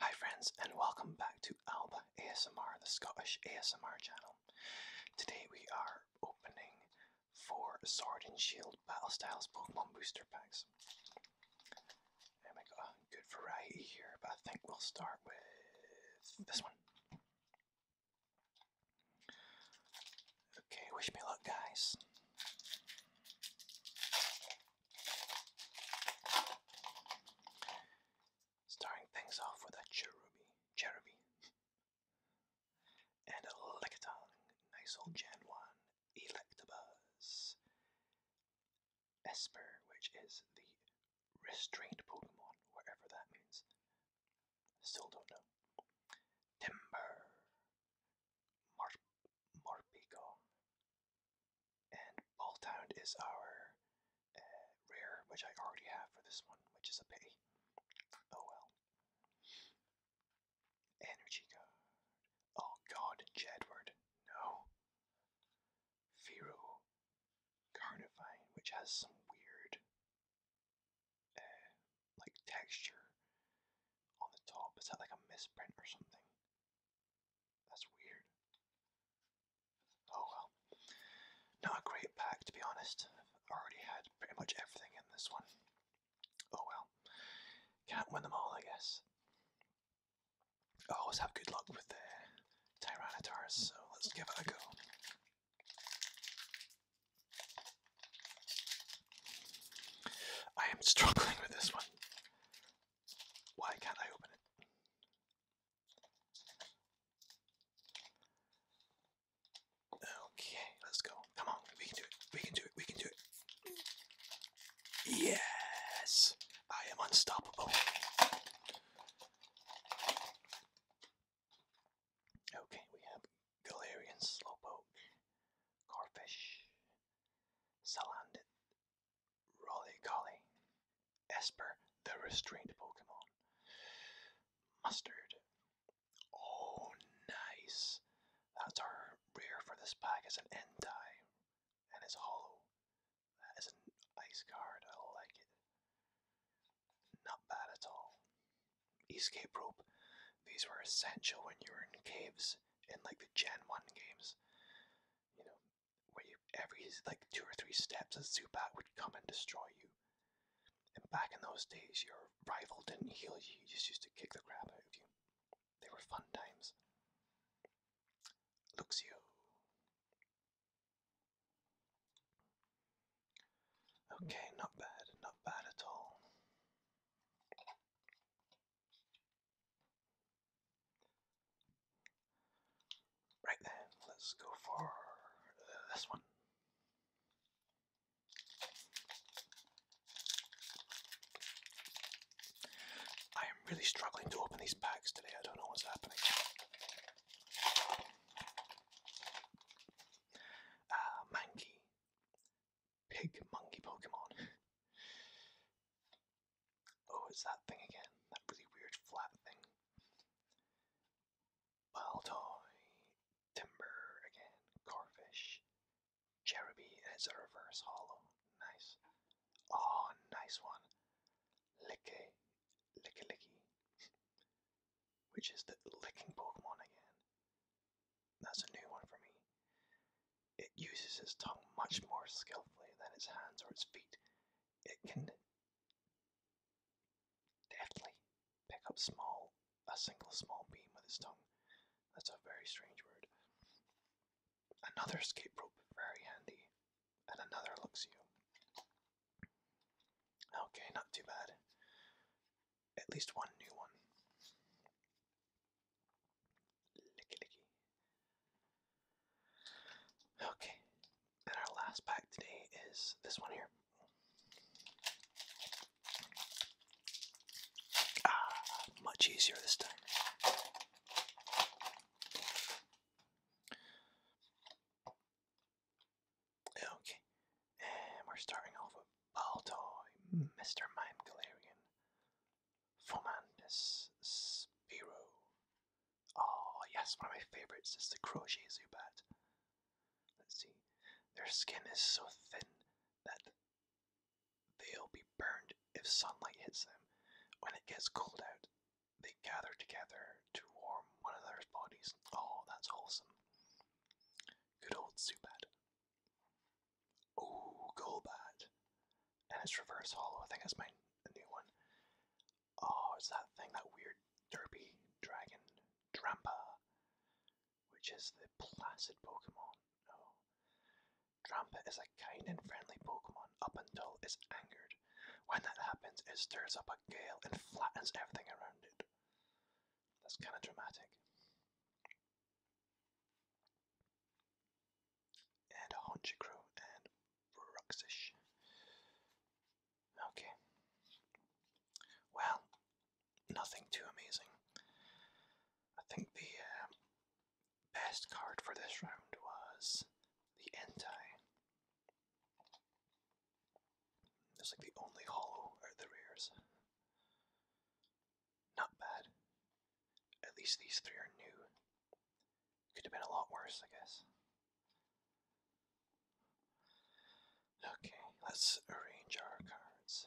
Hi friends and welcome back to Alba ASMR, the Scottish ASMR channel. Today we are opening four Sword and Shield Battle Styles Pokemon booster packs. And we got a good variety here, but I think we'll start with this one. Okay, wish me luck, guys. Starting things off with a cherubi, cherubi, and a nice old Gen 1, Electabuzz, Esper, which is the restrained Pokemon, whatever that means. Still don't know. Timber, Mar Morpico, and Balltown is our uh, rare, which I already have for this one, which is a Oh well. Energy card. Oh god, Jedward. No. Pharaoh Carnivine, which has some weird, uh, like texture on the top. Is that like a misprint or something? That's weird. Oh well. Not a great pack to be honest. I've already had pretty much everything in this one. Oh well. Can't win them all, I guess. I always have good luck with the uh, Tyranitar, so let's give it a go. I am struggling with this one. Why can't I open it? Okay, let's go. Come on, we can do it. We can do it. We can do it. Yes! I am unstoppable. Okay, we have Galarian Slowpoke, Corfish, Salandit, Rolly Esper, the restrained Pokemon, Mustard. Oh, nice. That's our rare for this pack. It's an Entei and it's hollow. That is an ice card. I like it. Not bad at all. Escape rope. These were essential when you were in caves in like the Gen 1 games. You know, where you every like two or three steps a Zubat would come and destroy you. And back in those days, your rival didn't heal you, you just used to kick the crap out of you. They were fun times. Luxio. Okay, not bad, not bad at all. Right then, let's go for uh, this one. I am really struggling to open these packs today. I don't know what's happening. Uh, ah, Mankey. Pig monkey Pokemon. oh, it's that thing again. That really weird flat thing. Baltoy. Timber again. Corfish. Cherubi. it's a reverse hollow. Nice. Oh, nice one. Licky, Licky Licky. Which is the licking Pokemon again. That's a new one for me. It uses its tongue much more skillfully than its hands or its feet. It can deftly pick up small a single small beam with its tongue. That's a very strange word another escape rope, very handy, and another looks you. Okay, not too bad. At least one new one. Licky licky. Okay, and our last pack today is this one here. Ah, much easier this time. Okay, we're starting off with Baltoy, Mr. Mime Galarian, Fomandus, Spiro. Oh, yes, one of my favorites is the Crochet Zubat. Let's see. Their skin is so thin that They'll be burned if sunlight hits them. When it gets cold out, they gather together to warm one another's bodies. Oh, that's wholesome. Good old Zubat. Oh, Golbat. And reverse hollow. I think that's my new one. Oh, it's that thing, that weird derpy dragon, Drampa, which is the placid Pokemon. Oh. Trumpet is a kind and friendly Pokemon up until it's angered. When that happens, it stirs up a gale and flattens everything around it. That's kind of dramatic. And a and Bruxish. Okay. Well, nothing too amazing. I think the uh, best card for this round was the Entai. That's like the only hollow out the rares. Not bad. At least these three are new. Could have been a lot worse, I guess. Okay, let's arrange our cards.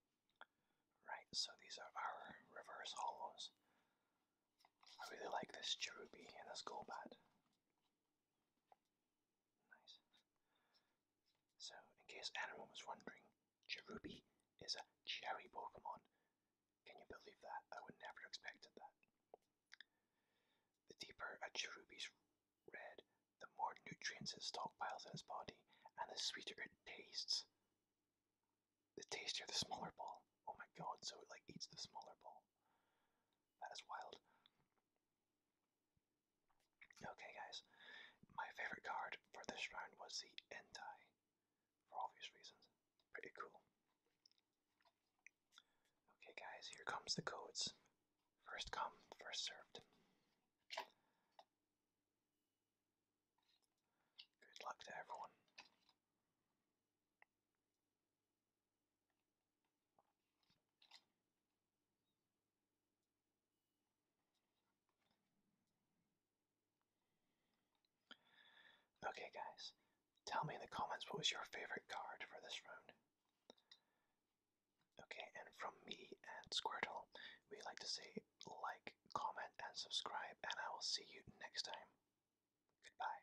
Right, so these are our reverse hollows. I really like this Cherubi and this Golbat. Nice. So, in case anyone was wondering, Cherubi is a cherry Pokemon. Can you believe that? I would never have expected that. The deeper a Cherubi's red, the more nutrients it stockpiles in its body, and the sweeter it tastes the tastier the smaller ball. Oh my god, so it like eats the smaller ball. That is wild. Okay, guys, my favorite card for this round was the Entai, for obvious reasons. Pretty cool. Okay, guys, here comes the codes. First come, first served. Good luck to everyone. Okay guys, tell me in the comments what was your favorite card for this round. Okay, and from me and Squirtle, we like to say like, comment, and subscribe, and I will see you next time. Goodbye.